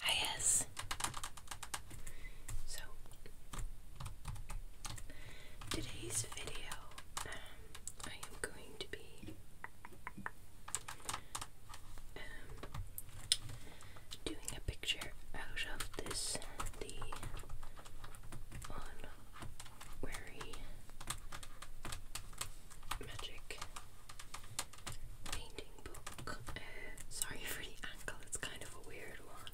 Hi, ah, yes. So today's video, um, I am going to be um, doing a picture out of this the Onwary magic painting. Uh, sorry for the ankle, it's kind of a weird one.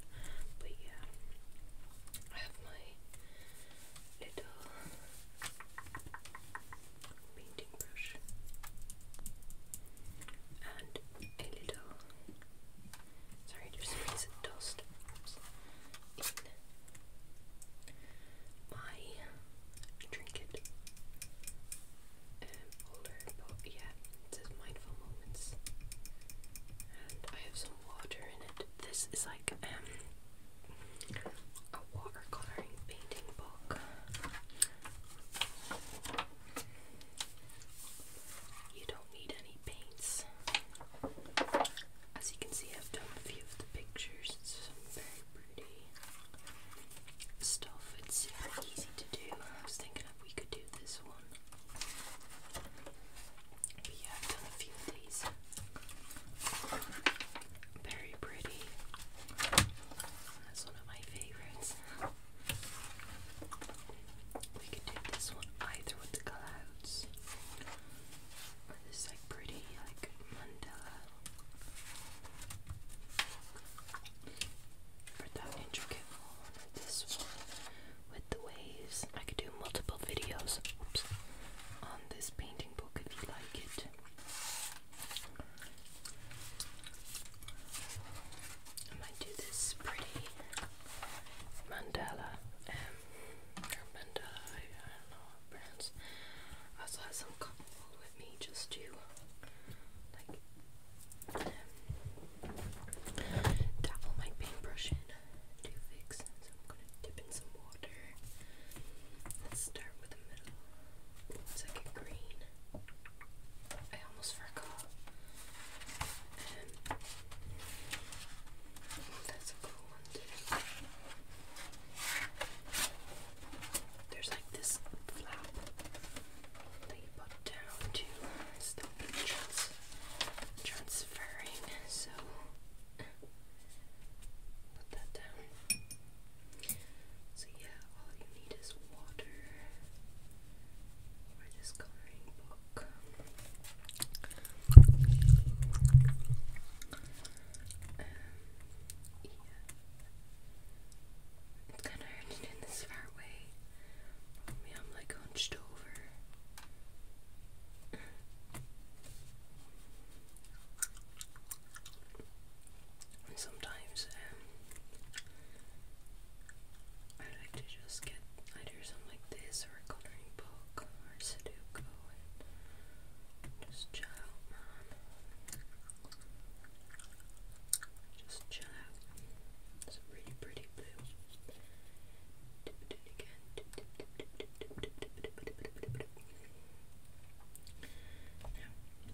But yeah, I have my little painting brush and a little. Sorry, there's a piece of dust Oops. in my trinket. Um, older, but yeah, it says mindful moments. And I have some water in it. This is like um, a watercoloring painting book. You don't need any paints. As you can see, I've done a few of the pictures. It's some very pretty stuff. It's easy to do. I was thinking we could do this one. yeah, I've done a few of these. Very pretty. That's one of my favourites. We could do this one either with the clouds. this like pretty like mandala for that intricate one. This one with the waves. I could do multiple videos oops, on this painting book if you like it. I might do this pretty mandala, um, or I don't know how it pronounced. I also have some cotton with me just to, like, dabble my paintbrush in to So I'm gonna dip in some water. Let's start with the middle. Once green, I almost forgot. Um, that's a cool one There's like this flap that you put down to stop transferring. So put that down. So yeah, all you need is water for this coloring book. Um, yeah. It's kind of hard to do this far away me, I'm like hunched over. sometimes um, I like to just get either something like this or a colouring book or Sudoku and just chill out, just chill out. It's a really pretty blue.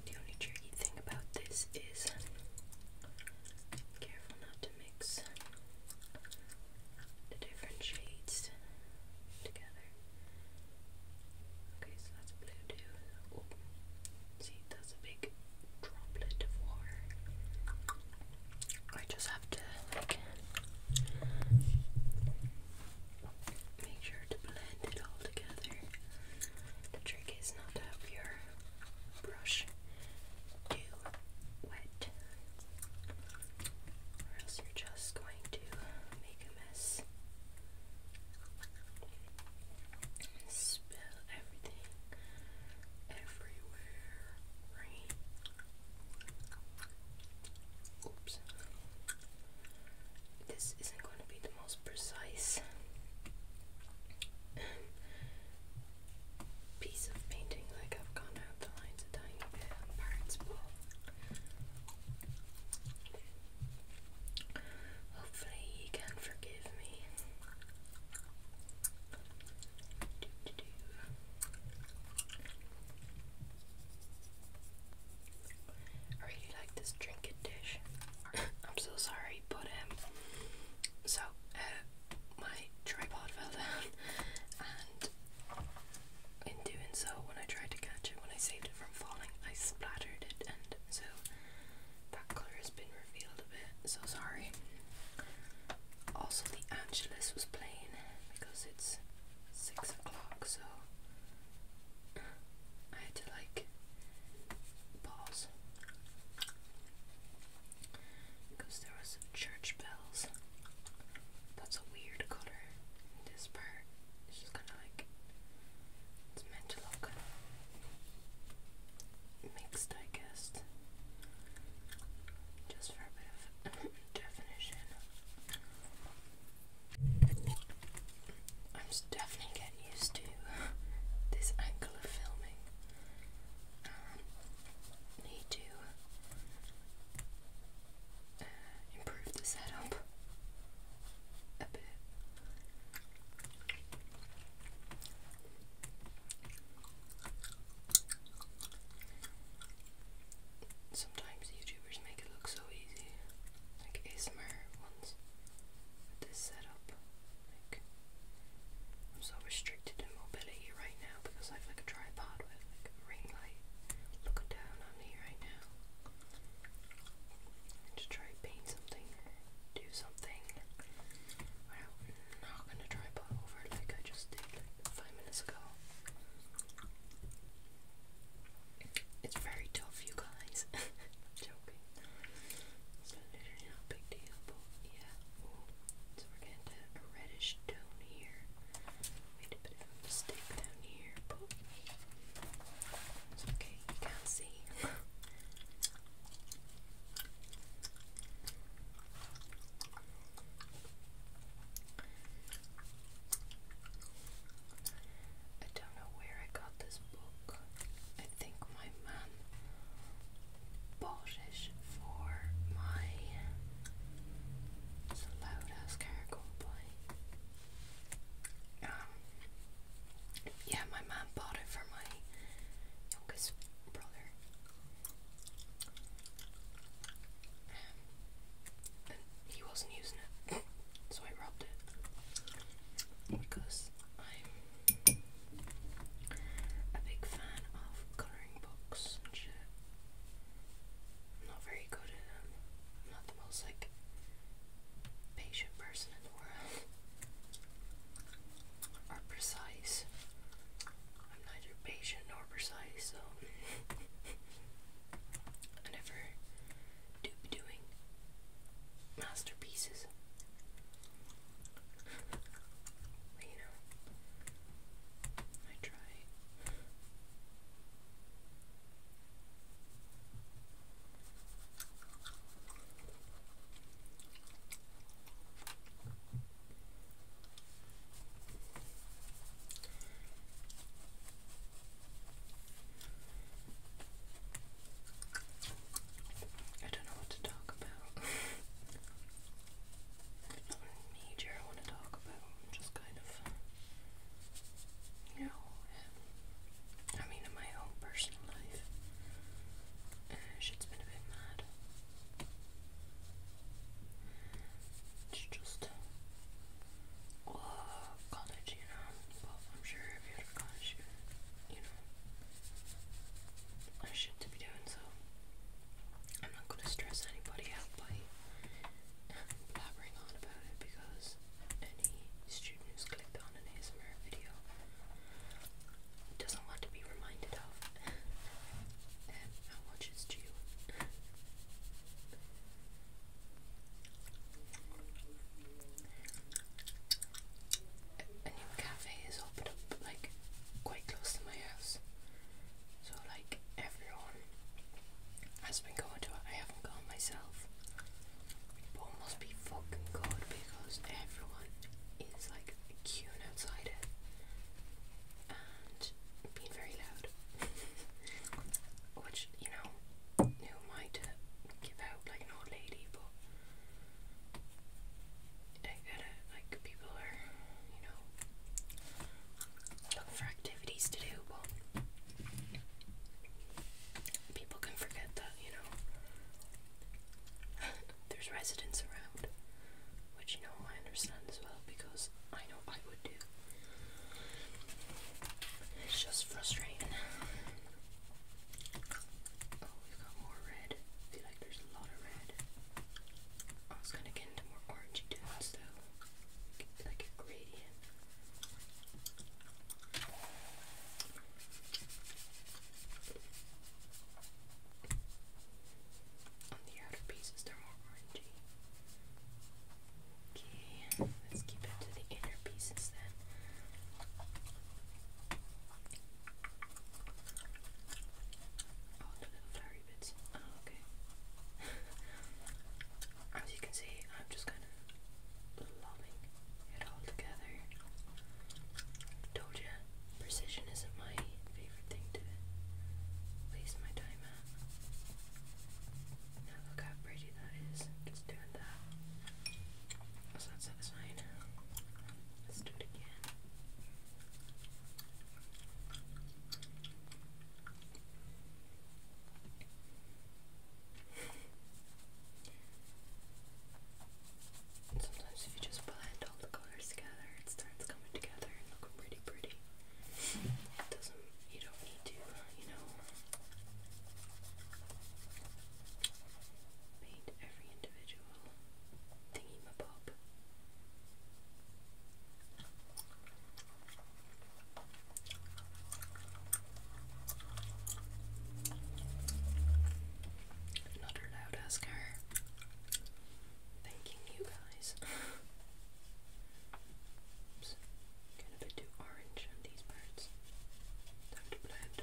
the only tricky thing about this is careful not to mix the different shades together. Okay, so that's blue too. see, that's a big droplet of water. I just have to make sure to blend it all together. The trick is not to have your brush too wet, or else you're just going to make a mess. Spill everything everywhere, Oops. This isn't going to be the most precise piece of painting, like I've gone out the lines a tiny bit parts, but hopefully you can forgive. I really like this trinket dish. I'm so sorry, but um, so uh, my tripod fell down, and in doing so, when I tried to catch it, when I saved it from falling, I splattered it, and so that colour has been revealed a bit, so sorry. Also, the Angelus was playing because it's six o'clock, so I had to like pause because there was church bells. That's a weird colour. in This part is just kind of like it's meant to look mixed, I guess, just for a bit of definition. I'm definitely getting used to this angle of filming. Um, need to uh, improve the setup a bit. Sometimes YouTubers make it look so easy, like ASMR ones. With this setup, like I'm so restricted in mobility right now because I've like a tripod with like a ring light looking down on me right now. And try to paint something or do something without not gonna dry pot over like I just did five minutes ago. It's very tough, you guys. am joking. It's not big deal, yeah. So we're getting a reddish tone here. Made a bit of a mistake down here, but it's okay. You can see. I don't know where I got this book. I think my mum bought it for my. loud ass car going um, yeah, my mum bought it for my youngest brother he wasn't using it, so I robbed it. Because I'm a big fan of colouring books not very good at them. not the most like patient person in the world or precise. I'm neither patient nor precise, so I never do doing masterpieces. But, you know, I try. I don't know what to talk about. There's major I want to talk about. I'm just kind of, you know, um, I mean, in my own personal life, uh, has been a bit mad. It's just college, you know. I'm sure if you college, you know, I shit to be doing. So I'm not gonna stress anybody out by blabbering on about it because any student who's clicked on an ASMR video doesn't want to be reminded of how much is due. A, new cafe is opened up like quite close to my house, so like everyone has been going to it. I haven't gone myself, but must be fucking good because everyone is like like outside and being very loud. Which, you know, who am I to give out like an old lady, but I gotta, like, people are, you know, looking for activities to do, but people can forget that, you know there's residents around, which you know I understand as well because I know I would do. It's just frustrating. Oh, we've got more red. feel like there's a lot of red. Oh, I was gonna get into more orangey tones though, like a gradient. On the outer pieces, they're more orangey. Okay, let's keep it to the inner pieces then. Oh, the little flowery bits. Oh, okay. As you can see, I'm just kind of lobbing it all together. Told you, Precision isn't my favorite thing to waste my time at. Now look how pretty that is. Just doing that. That's not satisfying. Let's do it again. And sometimes if you just blend all the colors together, it starts coming together and looking pretty pretty. It doesn't, you don't need to, uh, you know, paint every individual thingy ma pop. Another loud asker thanking you guys. Oops. Kind of a bit too orange on these parts. Time to blend.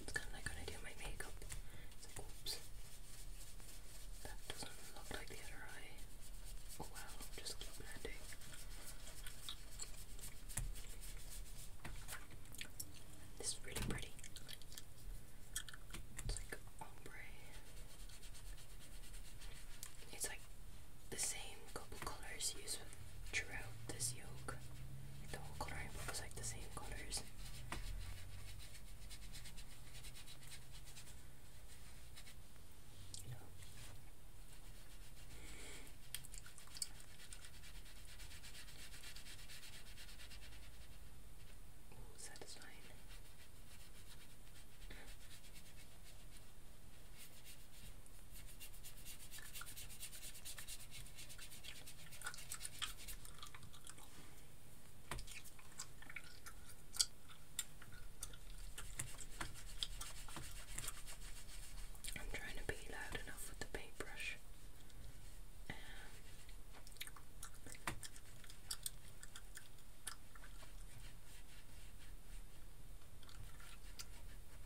It's kind of like when I do my makeup. oops. That doesn't look like the other eye. Oh well, just keep blending. This is really pretty. It's like ombre. It's like the same couple colors used throughout this yoke. the whole coloring book like the same colors. You know. satisfying. I'm trying to be loud enough with the paintbrush. Um,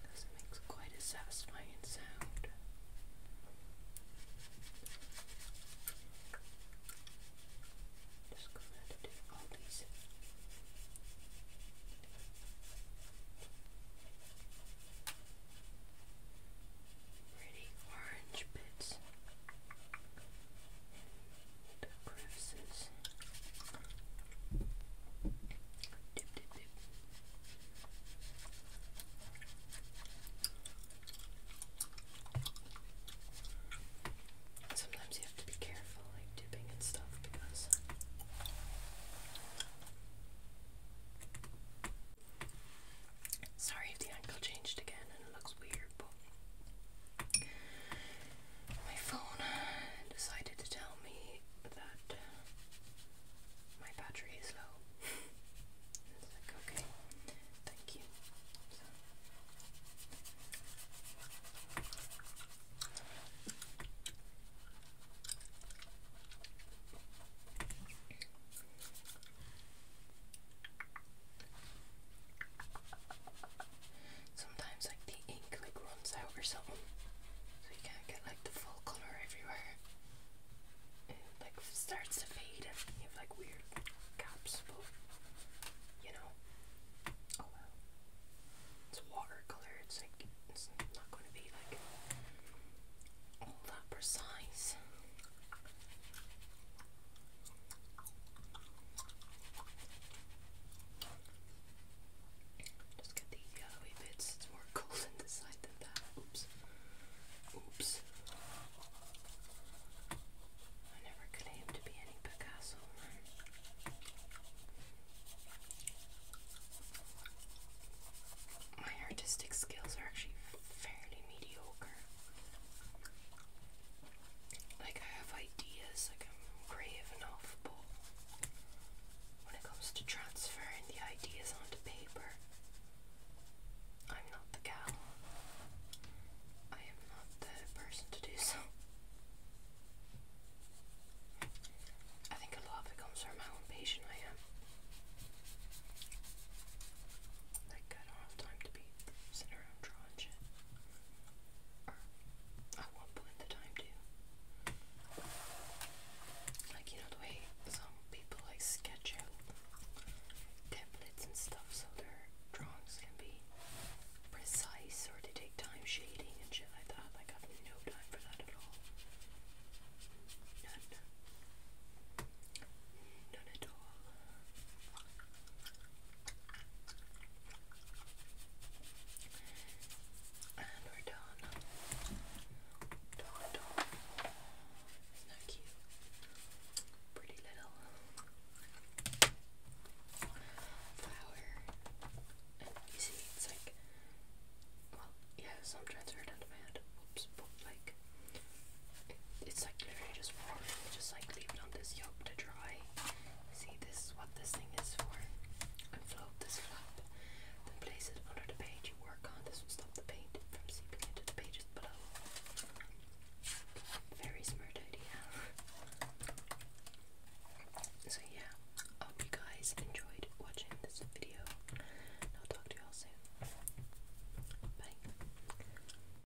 doesn't make quite a satisfying sound. Just gonna do all these. Pretty orange bits the crevices. Sometimes you have to be careful, like dipping and stuff, because sorry if the angle changed again and it looks weird my phone decided to tell me that uh, my battery is low. it's like, okay, thank you. Sometimes like the ink like runs out or something. So you can't get like the full colour everywhere. It like starts to fade and you have like weird gaps but you know. Oh, it's watercolour, it's like it's not gonna be like all that precise. Just get the yellowy bits, it's more golden this side than that. Oops. Oops. I never claimed to be any Picasso, right? My artistic skills are actually fairly mediocre like I have ideas, like I'm creative enough, but when it comes to transferring the ideas onto paper, I'm not the gal. I am not the person to do so. I think a lot of it comes from how impatient I am. Like, I don't have time to be sitting around drawing shit. I won't put the time to. Like, you know, the way some people like sketch out templates and stuff so their drawings can be precise or to take time shading and shit like that. Like, I've no time for that at all. None at all. And we're done. Done at all. is Pretty little flower. you see, it's like, well, yeah, some transferred onto my hand. Oops, like, it's like literally just warm. Just like leave it on this yolk to dry. See, this is what this thing is for. And float this flap. Then place it under the page you work on. This will stop the paint from seeping into the pages below. Very smart idea. So yeah, I hope you guys enjoyed watching this video. I'll talk to you all soon. Bye.